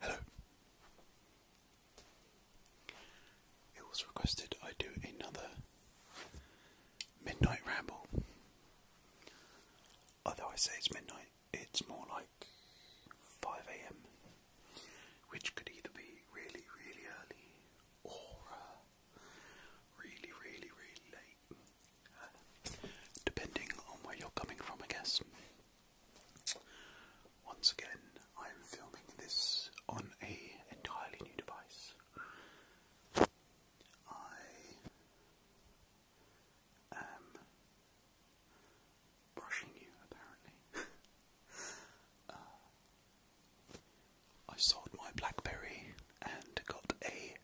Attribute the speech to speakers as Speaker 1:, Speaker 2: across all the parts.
Speaker 1: Hello. It was requested I do another midnight ramble. Although I say it's midnight, it's more like 5 a.m., which could either be really, really early or uh, really, really, really late, depending on where you're coming from, I guess. Once again, I'm filming this on a entirely new device. I am brushing you, apparently. Uh, I sold my Blackberry and got a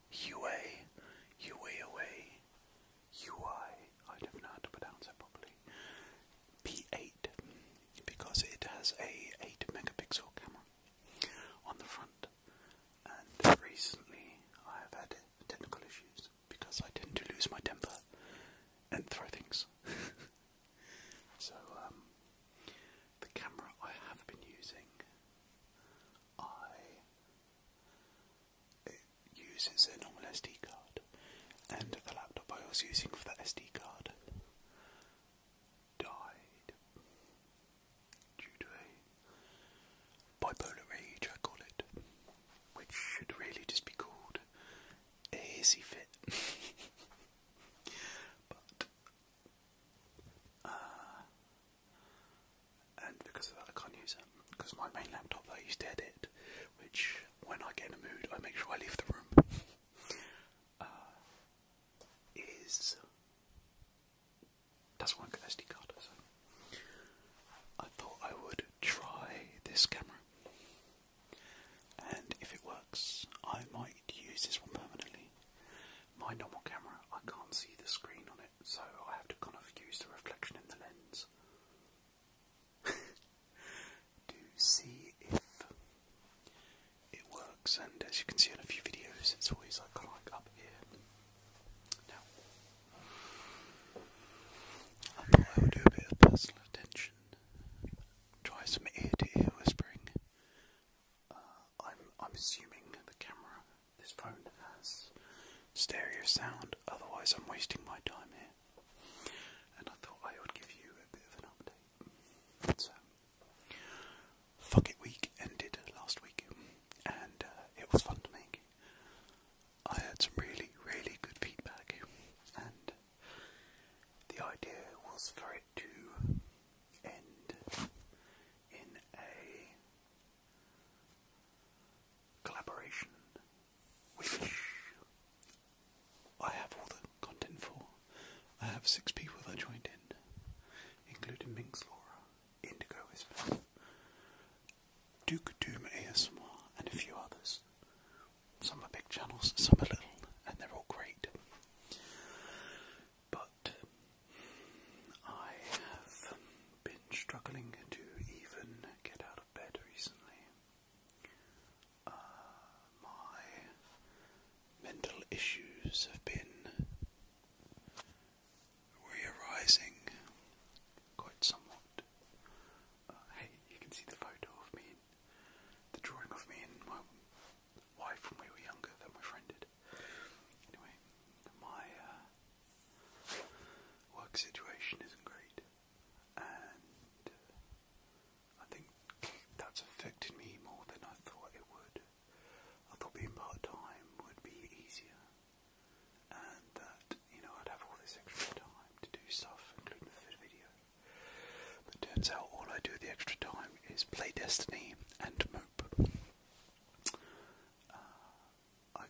Speaker 1: don't know how to pronounce it properly, P8, because it has a 8 megapixel camera on the front, and recently I have had technical issues because I tend to lose my temper and throw things. so, um, the camera I have been using, I it uses a normal SD card, and the laptop I was using for that SD card died due to a bipolar rage, I call it, which should really just be called a hissy fit. but uh, and because of that I can't use it. Because my main laptop I used to edit, which when I get in a mood I make sure I leave the room. Uh, is doesn't work an SD card, I thought I would try this camera. And if it works, I might use this one permanently. My normal camera, I can't see the screen on it, so I have to kind of use the reflection in the lens to see if it works. And as you can see in a few videos, it's always like, kind of like up here. Now, I thought I would do a bit of personal attention. Try some ear to ear whispering. Uh, I'm I'm assuming the camera, this phone has stereo sound. Otherwise, I'm wasting my time here. And I thought I would give you a bit of an update. fuck it week ended last week, and uh, it was fun to make. I heard some really, really good feedback, and the idea was for it to end in a collaboration, which I have all the content for. I have six people that joined in, including Minks, Laura, Indigo Whisper, Duke Doom ASMR, and a few others. Some are big channels, some are little, and they're all great. But I have been struggling to even get out of bed recently. Uh, my mental issues have been rearising quite somewhat. Uh, hey, you can see the photo of me, and the drawing of me and my wife when we were younger that my friend did. Anyway, my uh, work situation isn't great, and uh, I think that's affected me more than I thought it would. I thought being part time would be easier, and that, you know, I'd have all this extra time to do stuff, including the video. But turns out all I do with the extra time is play Destiny and mope. Uh, I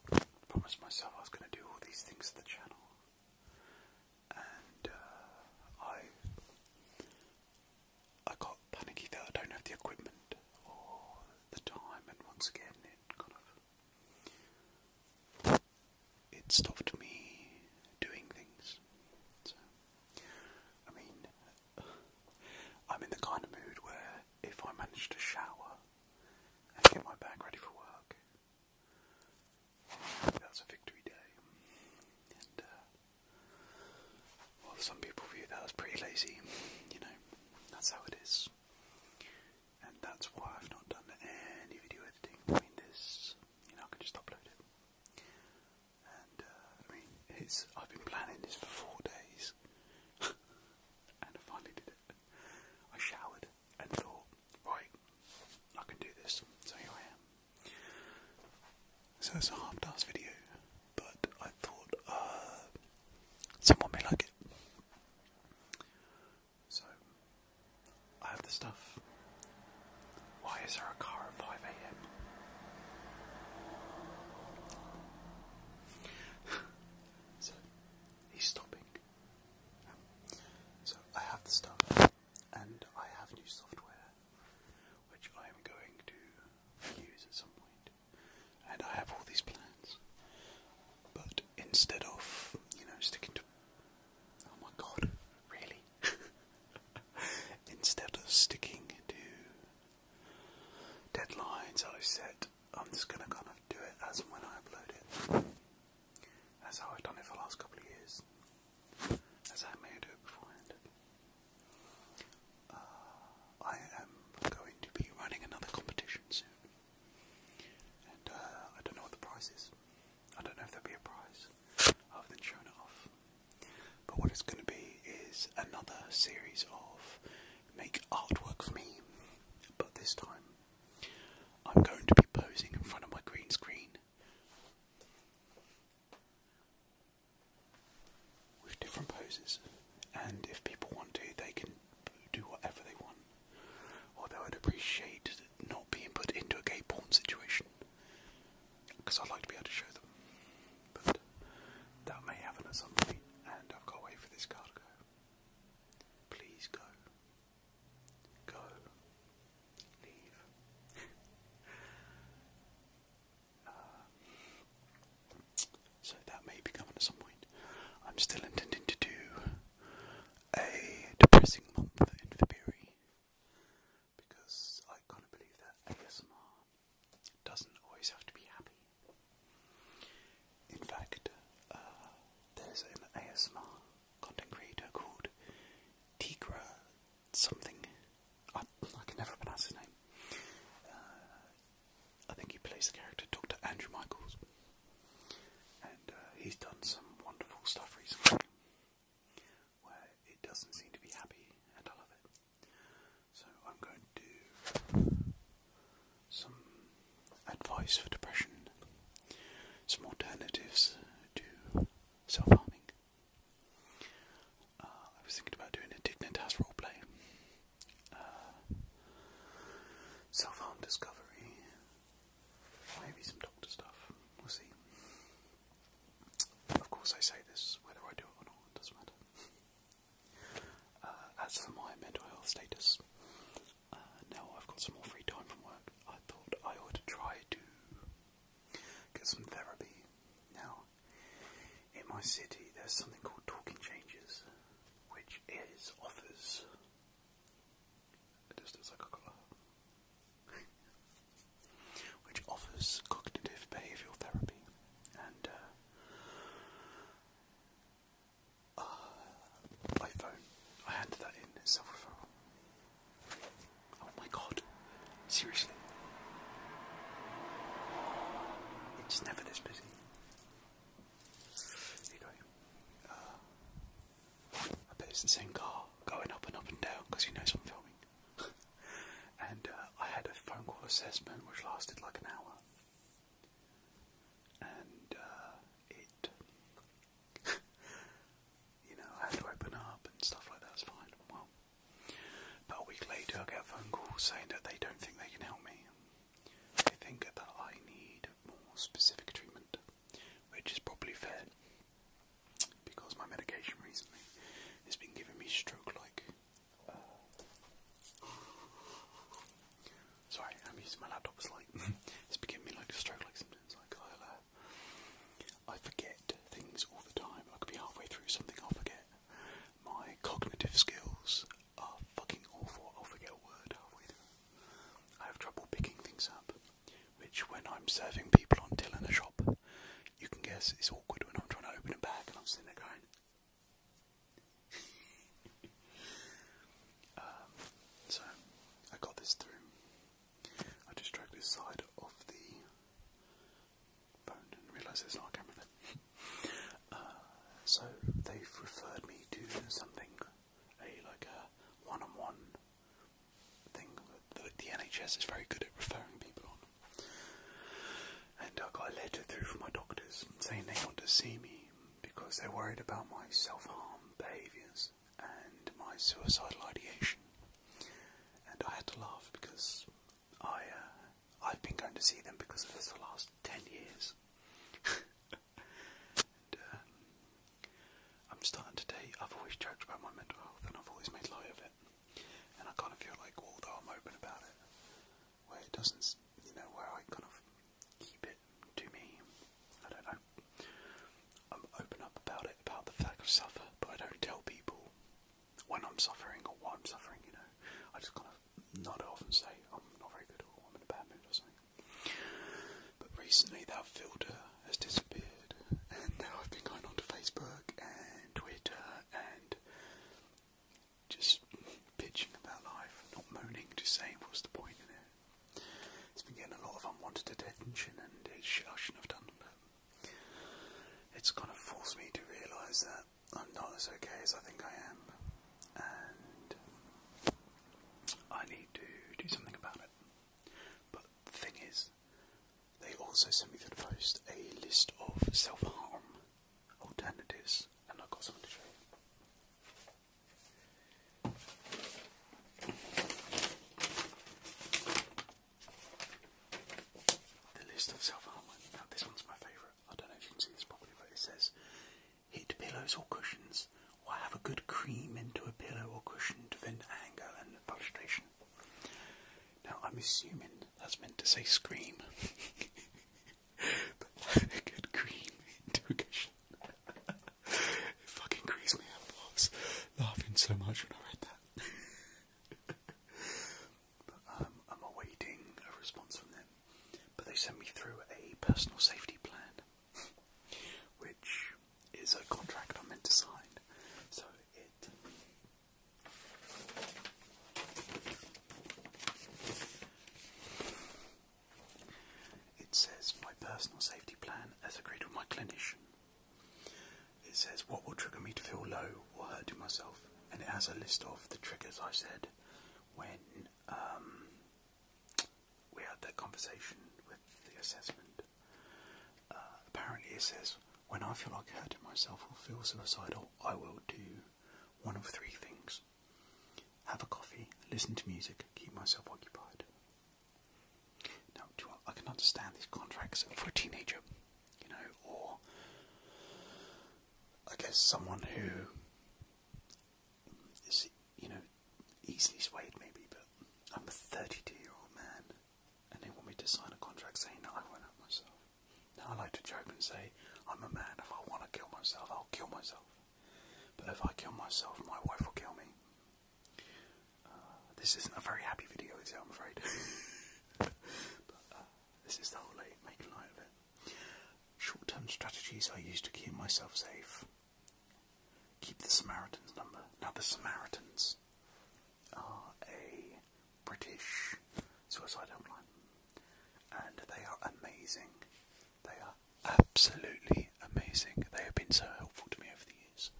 Speaker 1: promised myself I was going to do all these things to the channel. And uh, I I got panicky that I don't have the equipment or the time, and once again it kind of it stopped me doing things. I mean, I'm in the kind of mood where if I manage to shower and get my bag ready for work, that's a victory day. And, uh, some people view that as pretty lazy, you know, that's how it is and that's why I've not done any video editing between this. You know, I can just upload it. And uh, I mean, it's I've been planning this for four days, and I finally did it. I showered and thought, right, I can do this. So here I am. So it's a half-assed video, but I thought uh, someone may like it. So, I have the stuff. Why is there a car at 5 a.m.? so, he's stopping. so, I have the stuff, and I have new software, which I am going to use at some point. And I have all these plans. But instead of, you know, sticking to Oh my god, really? Instead of sticking to deadlines I've set, I'm just gonna kind of do it as when I upload it. That's how I've done it for the last couple of years. As I may do it beforehand. Uh, I am going to be running another competition soon. And uh, I don't know what the price is. I don't know if there'll be a prize other than showing it off. But what it's going to be is another series of make artwork for me, but this time I'm going to be posing in front of my green screen with different poses, and if people want to, they can do whatever they want. Although I'd appreciate not being put into a gay porn situation, because I'd like to be able to show them. But that may happen at some point, and I've got to wait for this car to go. Please go. Go. Leave. Uh, so that may be coming at some point. I'm still intending to do a depressing month in February because I kind of believe that ASMR doesn't always have to be happy. In fact, uh, there's an ASMR content creator called Tigra something. I, I can never pronounce his name. Uh, I think he plays the character Dr. Andrew Michaels. And uh, he's done some wonderful stuff recently where it doesn't seem to be happy, and I love it. So I'm going to do some advice for depression, some alternatives to self-harming. Uh, I was thinking about doing a Dignitas roleplay. Uh, Self-harm discovery, Maybe some doctor stuff. We'll see. Of course, I say this whether I do it or not, doesn't matter. Uh, as for my mental health status, uh, now I've got some more free time from work. I thought I ought to try to get some therapy. Now, in my city, there's something called Talking Changes, which is offers Which offers cognitive behavioural therapy and uh, iPhone. Uh, I handed that in as self referral. Oh my god, seriously. It's never this busy. Here you go. Uh, I bet it's the same car going up and up and down because he knows I'm filming. and uh, I had a phone call assessment which lasted like an hour. And uh, it, you know, I had to open up and stuff like that. It's fine. Well, about a week later, I get a phone call saying that they don't think they can help me. They think that I need more specific treatment which is probably fair because my medication recently has been giving me stroke-like. Uh, sorry, I'm using my laptop. Mm-hmm. It's like it's has been giving me like stroke-like symptoms. Like i uh, I forget things all the time. I could be halfway through something, I'll forget. My cognitive skills are fucking awful. I'll forget a word halfway through. I have trouble picking things up which when I'm serving people on till in a shop, you can guess it's awkward when I'm trying to open a bag and I'm sitting there um, so I got this through. I just drag this side of the phone and realise there's not camera uh, so they've referred me to something a like a one-on-one -on -one thing that the NHS is very good at referring people on. And I got a letter through from my doctors saying they want to see me because they're worried about my self-harm behaviours and my suicidal ideation. And I had to laugh because I uh, I've been going to see them because of this for the last ten years. and, um, I'm starting to date. I've always joked about my mental health and I've always made light of it. And I kind of feel like, although I'm open about it, where it doesn't, you know, where I kind of keep it to me, I don't know. I'm open up about it, about the fact I suffer, but I don't tell people when I'm suffering or what I'm suffering, you know. I just kind of nod off and say, I'm not very good or I'm in a bad mood or something. But recently, that filter has disappeared, and now I've been going on Facebook and Twitter and just pitching about life, not moaning, just saying what's the point in it. It's been getting a lot of unwanted attention, and it's shit I shouldn't have done, it's kind of forced me to realise that I'm not as okay as I think I am, and I need to do something about it. But the thing is, they also sent me through the post a list of self harm alternatives, and I've got something to show The list of self harm. Now, this one's my favourite. I don't know if you can see this properly, but it says hit pillows or cushions I have a good cream into a pillow or cushion to vent anger and frustration. Now, I'm assuming that's meant to say scream. but a good cream into a cushion. fucking creased me out. laughing so much when I read that. but um, I'm awaiting a response from them. But they sent me through a personal safety plan, which is a contract I'm meant to sign. So it it says my personal safety plan as agreed with my clinician. It says what will trigger me to feel low or hurt hurting myself, and it has a list of the triggers I said when um, we had that conversation with the assessment. Uh, apparently, it says, When I feel like hurting myself or feel suicidal, I will do one of three things have a coffee, listen to music, keep myself occupied. Now, I can understand these contracts for a teenager, you know, or I guess someone who is, you know, easily swayed maybe, but I'm a 32 year old man and they want me to sign a contract saying that I won't help myself. Now I like to joke and say, I'm a man, if I want to kill myself, I'll kill myself. But if I kill myself, my wife will kill me. Uh, this isn't a very happy video, is it, I'm afraid. but uh, this is the whole like, making light of it. Short term strategies I use to keep myself safe. Keep the Samaritans number. Now, the Samaritans are a British suicide helpline, and they are amazing. They are absolutely amazing. They have been so helpful to me over the years,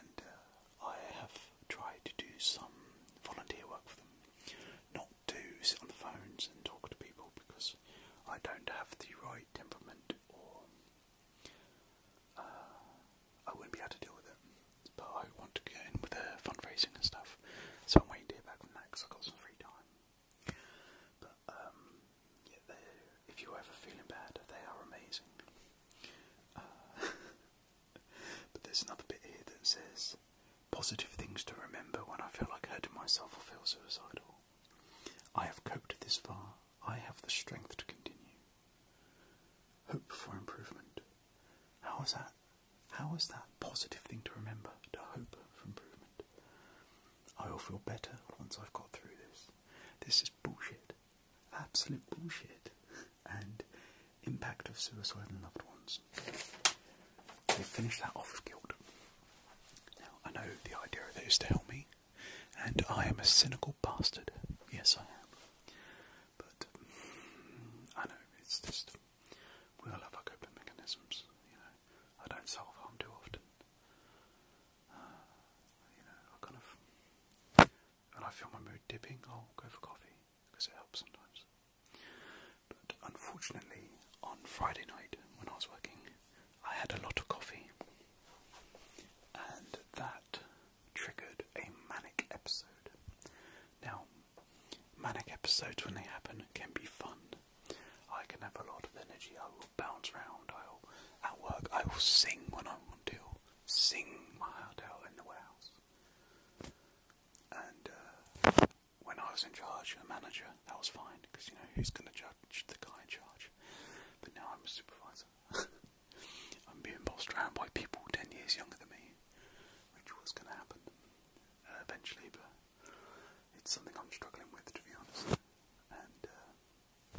Speaker 1: and uh, I have tried to do some volunteer work for them, not to sit on the phones and talk to people because I don't have the right temperament or uh, I wouldn't be able to deal with it. But I want to get in with the fundraising and stuff, so I'm waiting to hear back from Max. I've got some free time. But um, if you're ever feeling bad, they are amazing. Uh, but there's another bit here that says positive things to remember when I feel like hurting myself or feel suicidal. I have coped this far. I have the strength to continue. Hope for improvement. How is that? How is that positive thing to remember? To hope for improvement. I will feel better once I've got through this. This is bullshit. Absolute bullshit. And impact of suicide on loved ones. They finish that off with guilt. Now I know the idea of it is to help me and I am a cynical bastard. Yes, I am. But mm, I know it's just we all have our coping mechanisms. You know, I don't self harm too often. Uh, you know, I kind of when I feel my mood dipping, I'll go for coffee because it helps sometimes. But unfortunately, on Friday night when I was working, I had a lot of coffee, and that triggered a manic episode. Now, manic episodes, when they happen, can be fun. I can have a lot of energy, I will bounce around, I'll at work, I will sing when I want to, sing my heart out in the warehouse. And uh, when I was in charge, a manager, that was fine, because you know, who's going to judge the guy in charge? But now I'm a supervisor. I'm being bossed around by people ten years younger than me, which was going to happen uh, eventually, but it's something I'm struggling with, to be honest. And uh,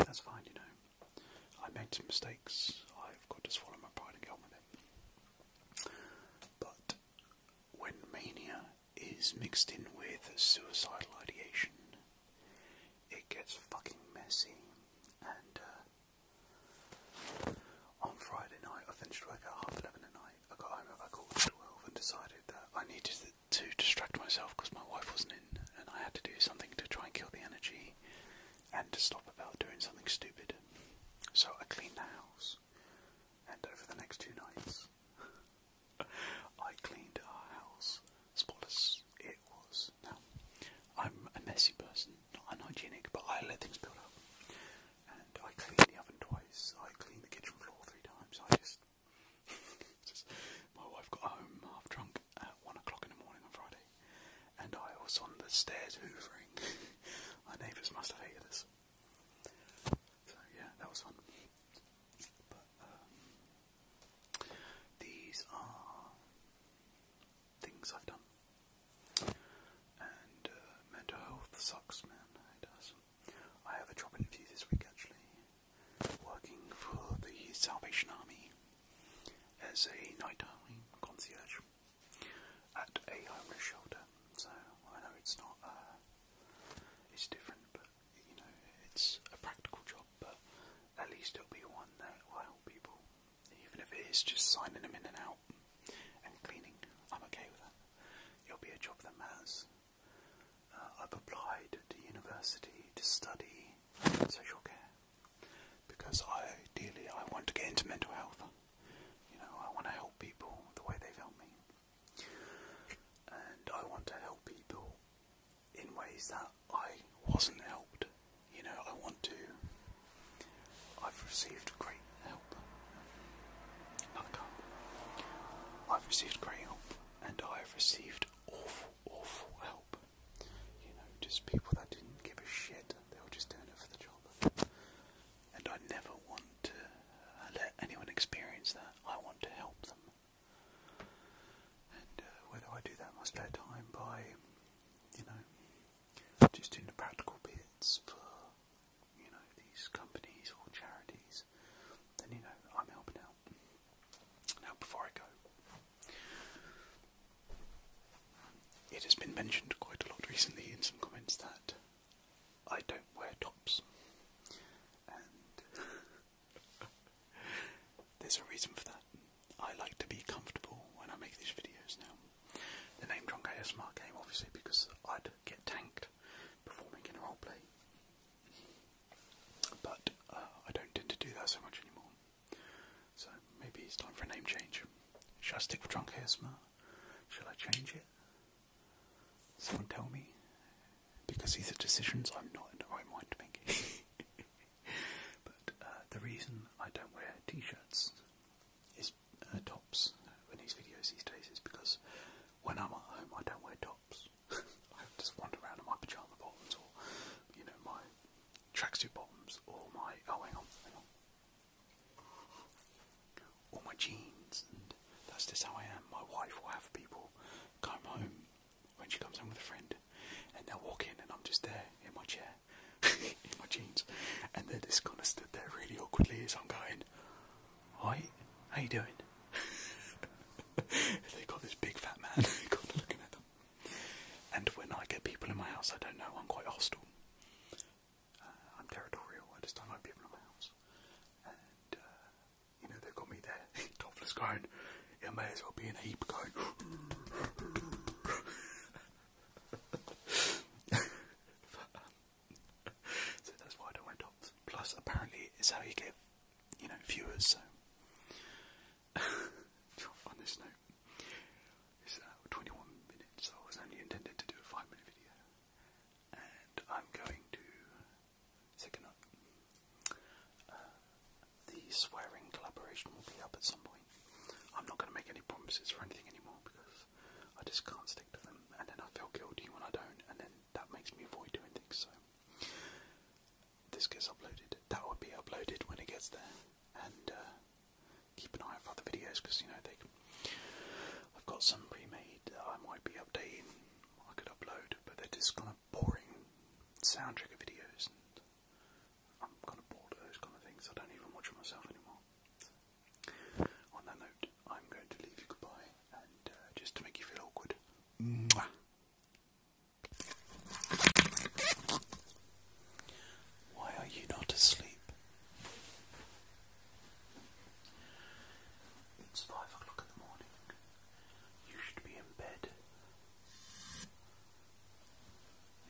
Speaker 1: that's fine, you know. I made some mistakes. I've got to swallow my pride and get on with it. But when mania is mixed in with suicidal ideation, it gets fucking messy, and uh, on Friday night, I finished work at half eleven at night. I got home about quarter to twelve and decided that I needed to distract myself because my wife wasn't in, and I had to do something to try and kill the energy and to stop about doing something stupid. So I cleaned the house, and over the next two nights, I cleaned our house spoilers it was. Now, I'm a messy person, not unhygienic, but I let things build up. And I clean the oven twice, I clean the kitchen floor three times, I just... my wife got home half drunk at one o'clock in the morning on Friday, and I was on the stairs hoovering. my neighbours must have heard us. So yeah, that was fun. Um, these are things I've done. And uh, mental health sucks, man. It does. I have a job interview this week actually, working for the Salvation Army as a nighttime concierge at a homeless shelter. So I know it's not, uh, it's different, but you know, it's a practical job, at least it'll be one that will help people. Even if it is just signing them in and out and cleaning, I'm okay with that. It'll be a job that matters. Uh, I've applied to university to study social care because I, ideally I want to get into mental health. You know, I want to help people the way they've helped me. And I want to help people in ways that I wasn't helped. You know, I want to. I've received great help. Another cup. Um, I've received great help, and I have received awful, awful help. You know, just people that didn't give a shit. They were just doing it for the job. And I never want to let anyone experience that. I want to help them and uh, whether I do that in my spare time by, you know, just doing the practical bits for, you know, these companies or charities, then, you know, I'm helping out. Now, before I go, it has been mentioned quite a lot recently in some comments that I don't wear tops, There's a reason for that. I like to be comfortable when I make these videos now. The name Drunk Smart came obviously because I'd get tanked performing in a roleplay. But uh, I don't tend to do that so much anymore. So maybe it's time for a name change. Should I stick with Drunk Smart? Shall I change it? Someone tell me. Because these are decisions I'm not in the right mind to make. but uh, the reason I don't wear t-shirts is uh, tops in these videos these days is because when I'm at home I don't wear tops. I just wander around in my pyjama bottoms or, you know, my tracksuit bottoms or my, oh hang on, hang on. Or my jeans and that's just how I am. My wife will have people come home when she comes home with a friend, and they'll walk in, and I'm just there in my chair, in my jeans, and they're just kind of stood there really awkwardly as I'm going, "Hi, how you doing?" They've got this big fat man kind of looking at them, and when I get people in my house, I don't know. I'm quite hostile. Uh, I'm territorial. I just don't like people in my house, and uh, you know they've got me there, topless, going it may as well be in a heap of but, so that's why I don't wear Plus, apparently, it's how you get, you know, viewers. So on this note, it's uh, 21 minutes. So I was only intended to do a five-minute video, and I'm going to second up. Uh, the swearing collaboration will be up at some point. I'm not going to make any promises for anything anymore because I just can't stick to them, and then I feel guilty when I don't, and then that makes me avoid doing things. So this gets uploaded. That will be uploaded when it gets there, and uh, keep an eye out for other videos because you know they. I've got some pre-made that I might be updating. I could upload, but they're just kind of boring soundtracker videos, I'm kind of bored of those kind of things. I don't even watch them myself anymore. on that note, I'm going to leave you goodbye, and uh, just to make you feel awkward. Why are you not asleep? It's five o'clock in the morning. You should be in bed.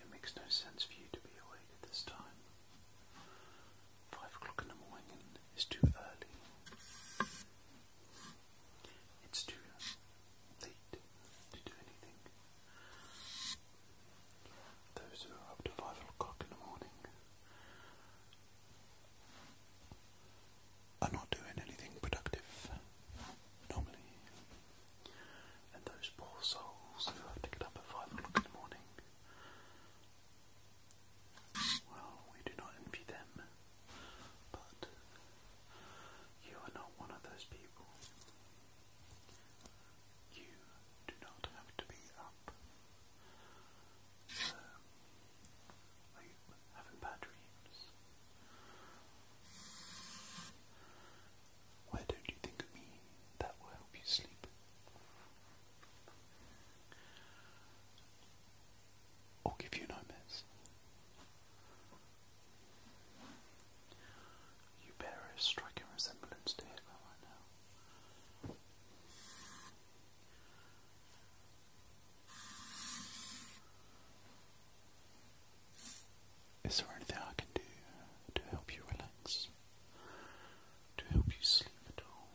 Speaker 1: It makes no sense for you to be awake at this time. Five o'clock in the morning is too early. It's too late to do anything. Those who are up to five o'clock in the morning are not doing anything productive normally. And those poor souls who have to get up at five o'clock in the morning. Well, we do not envy them, but you are not one of those people. You do not have to be up. Um, are you having bad dreams? Why don't you think of me? That will help you sleep. Or give you nightmares. You bear a striking resemblance to Hitler right now. Is there anything I can do to help you relax? To help you sleep at all?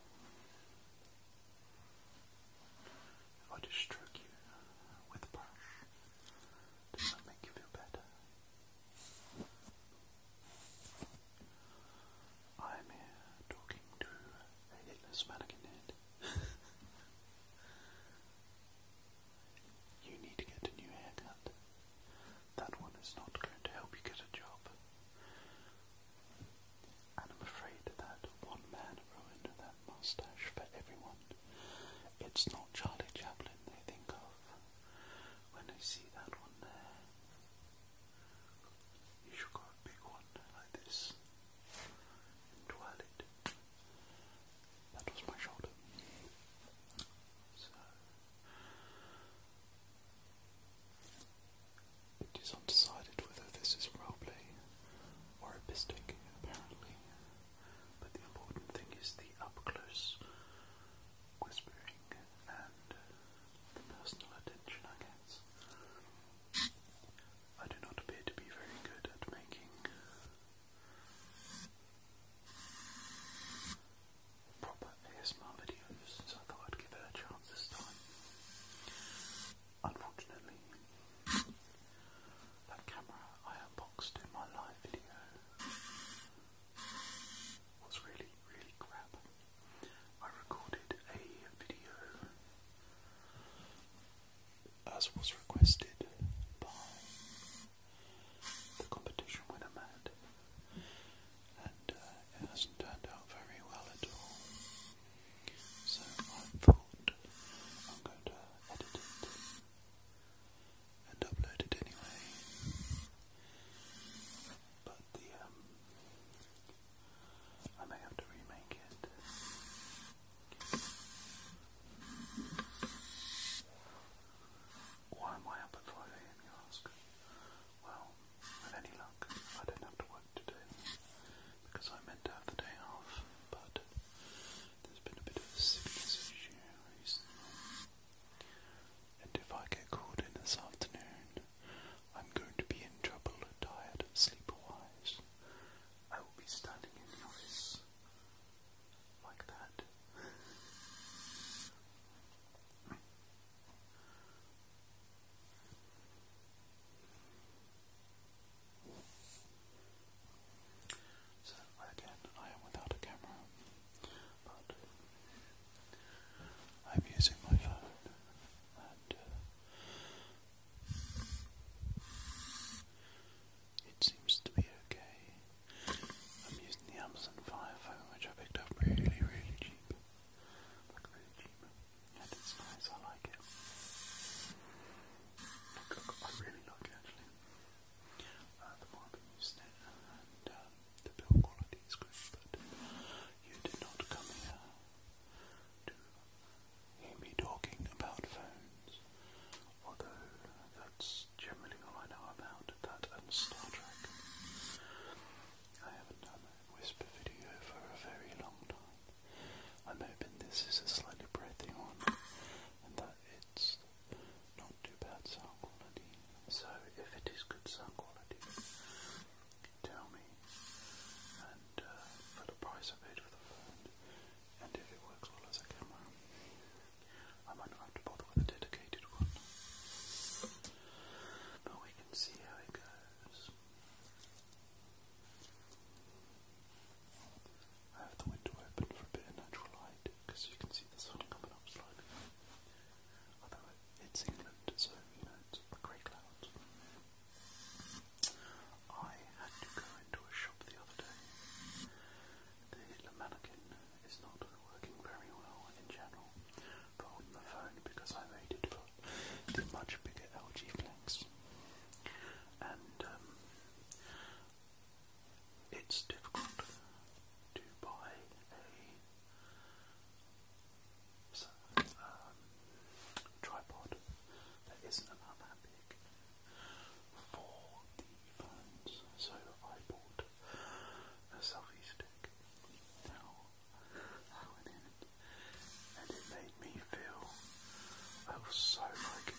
Speaker 1: If I just stroke you with a brush, does that make you feel better? I am here talking to a hitless mannequin head. You need to get a new haircut. That one is not going to help you get a job. And I'm afraid that one man ruined that mustache for everyone. It's not Charlie Chaplin they think of when they see that one there. You should grow a big one like this and twirl it. That was my shoulder. it is undecided whether this is roleplay or a pistic, apparently. But the important thing is the up close whispering and the personal attention, I guess. I do not appear to be very good at making proper ASMR videos, so I thought I'd give it a chance this time. Unfortunately, that camera I unboxed in my live video was really, really crap. I recorded a video as was requested by the competition winner mad. And uh, it hasn't turned out very well at all. So I thought I'm going to edit it and upload it anyway. But um, I may have to remake it. Why am I up at 5am, you ask? Well, with any luck, I don't have to work today because I meant to have the day off, but there's been a bit of a sickness issue And if I get called in this afternoon, I'm going to be in trouble, tired, sleep-wise. I will be standing in the office so again, I am without a camera, but I'm using my phone uh, it seems to be okay. I'm using the Amazon Fire phone, which I picked up really, really cheap. really cheap. And it's nice, I like it. I really like it actually. Uh, the more I've been using it, and uh, the build quality is good, but you did not come here to hear me talking about phones although that's generally all I know about that and Star Trek. I haven't done a Whisper video for a very long time. I'm hoping this is a slightly breathing one and that it's not too bad sound quality. So if it is good sound quality, tell me. And uh, for the price I paid for the phone, and if it works well as a camera, I might not have to bother with a dedicated one. But we can see how it goes. I have the window open for a bit of natural light because you can see the sun coming up slightly. Although it's England, so you know it's grey clouds. I had to go into a shop the other day. The mannequin it's not working very well in general for holding the phone because I waited for the much bigger LG Flex. And um, it's difficult to buy a um, tripod that isn't that big for the phones, so I bought a selfie stick. Now I went in and it made me feel I was so like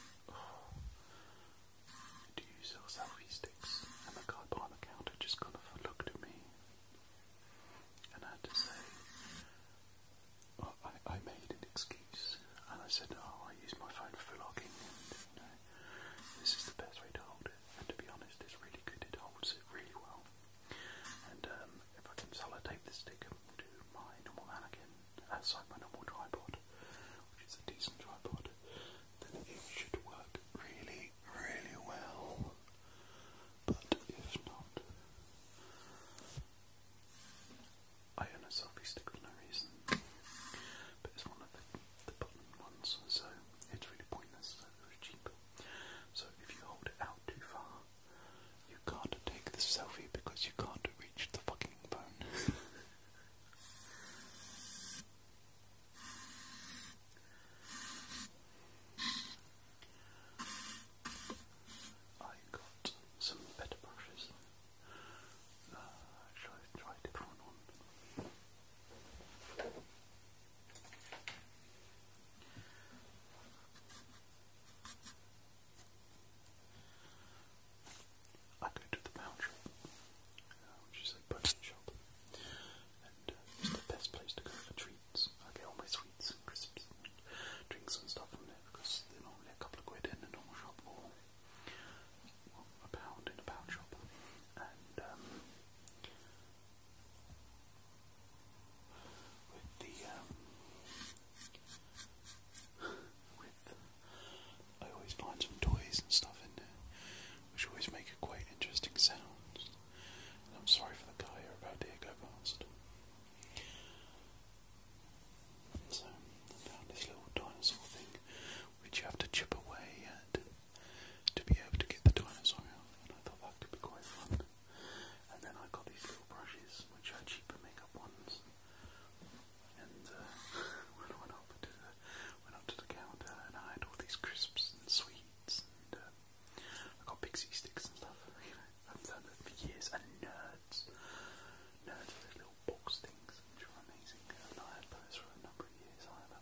Speaker 1: do you sell selfie sticks? And the guy behind the counter just kind of looked at me and I had to say I, I made an excuse and I said, oh, I use my phone for logging this is the best way to hold it, and to be honest, it's really good. It holds it really well. And um, if I consolidate the this stick to my normal mannequin uh, outside my normal tripod, which is a decent tripod, then it should work really, really well. But if not, I own a selfie stick for no reason. But it's one of the the button ones, so it's really pointless. it was cheaper. So if you hold it out too far, you can't take the selfie because you can't reach the fucking phone. I got some better brushes. Uh, I try a different on? I go to the pound shop, uh, which is shop, and uh, it's the best place to go for treats. I get all my sweets and crisps and drinks and stuff from there because they're normally a couple of quid in a normal shop or a pound in a pound shop, and um, with the um, with I always find some toys and stuff in there, which always make quite interesting sounds. And I'm sorry for the guy who about to go past. So I found this little dinosaur thing which you have to chip away at to be able to get the dinosaur out. And I thought that could be quite fun. And then I got these little brushes, which are cheaper makeup ones. And uh, when I went up to the went up to the counter, and I had all these crisps and sweets, and uh, I got pixie sticks and stuff. You know, I've done that for years. And nerds, nerds, those little little box things, which are amazing, and I had those for a number of years either.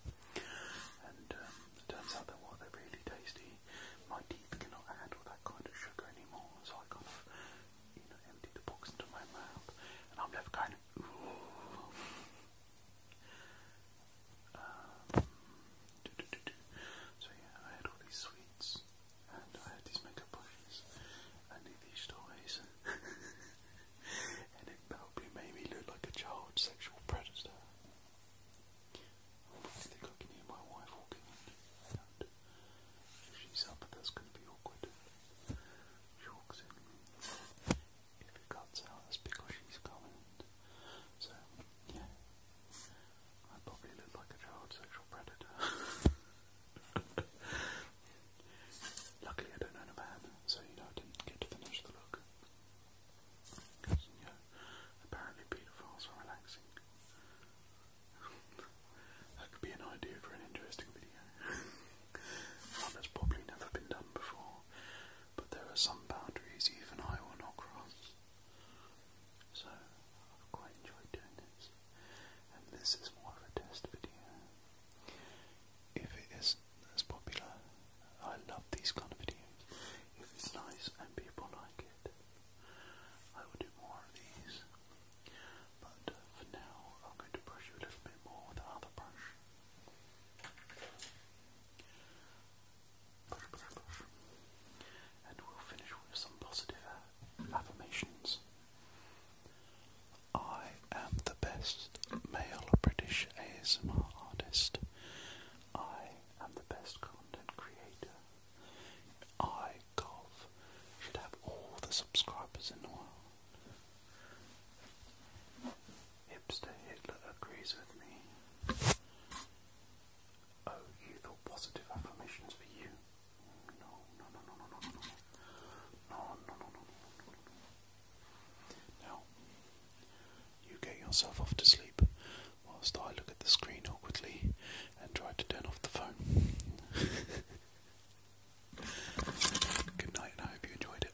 Speaker 1: And um, it turns out that while they're really tasty, my teeth cannot handle that kind of sugar anymore, so I kind of, you know, empty the box into my mouth, and I'm left going, ooh. Um, do, do, do, do. So yeah, I had all these sweets, and I had these makeup brushes, and these toys. and it probably made me look like a child sexual predator. I think I can hear my wife walking in. If she's up, that's going to be awkward. She walks in. If it cuts out, that's because she's coming. So, yeah. I probably look like a child sexual predator. Luckily, I don't own a van, so you know I didn't get to finish the look. apparently pedophiles are relaxing. that could be an idea for an interesting video. that's probably never been done before, but there are some boundaries even I will not cross. So, I've quite enjoyed doing this, and this is more of a test video. If it is that's popular. I love these kind of videos. If it's nice and people like it, I will do more of these. But uh, for now, I'm going to brush you a little bit more with another brush. Brush, brush, brush. And we'll finish with some positive affirmations. I am the best male British ASMR artist. I am the best content creator. I, Golf, should have all the subscribers in the world. Hipster Hitler agrees with me. Oh, you positive affirmations for you? no, no, no, no, no, no, no, no, no, no, no, no, now, you get yourself off to sleep whilst I look at the screen awkwardly and try to turn off the phone. Good night, and I hope you enjoyed it.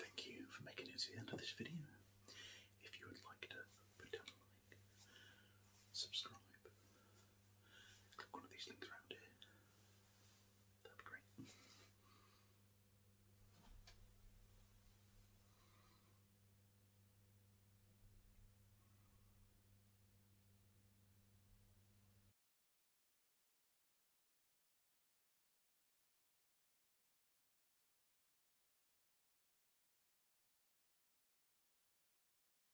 Speaker 1: Thank you for making it to the end of this video. If you would like to put down a like, subscribe, Click one of these things around here. That'd be great.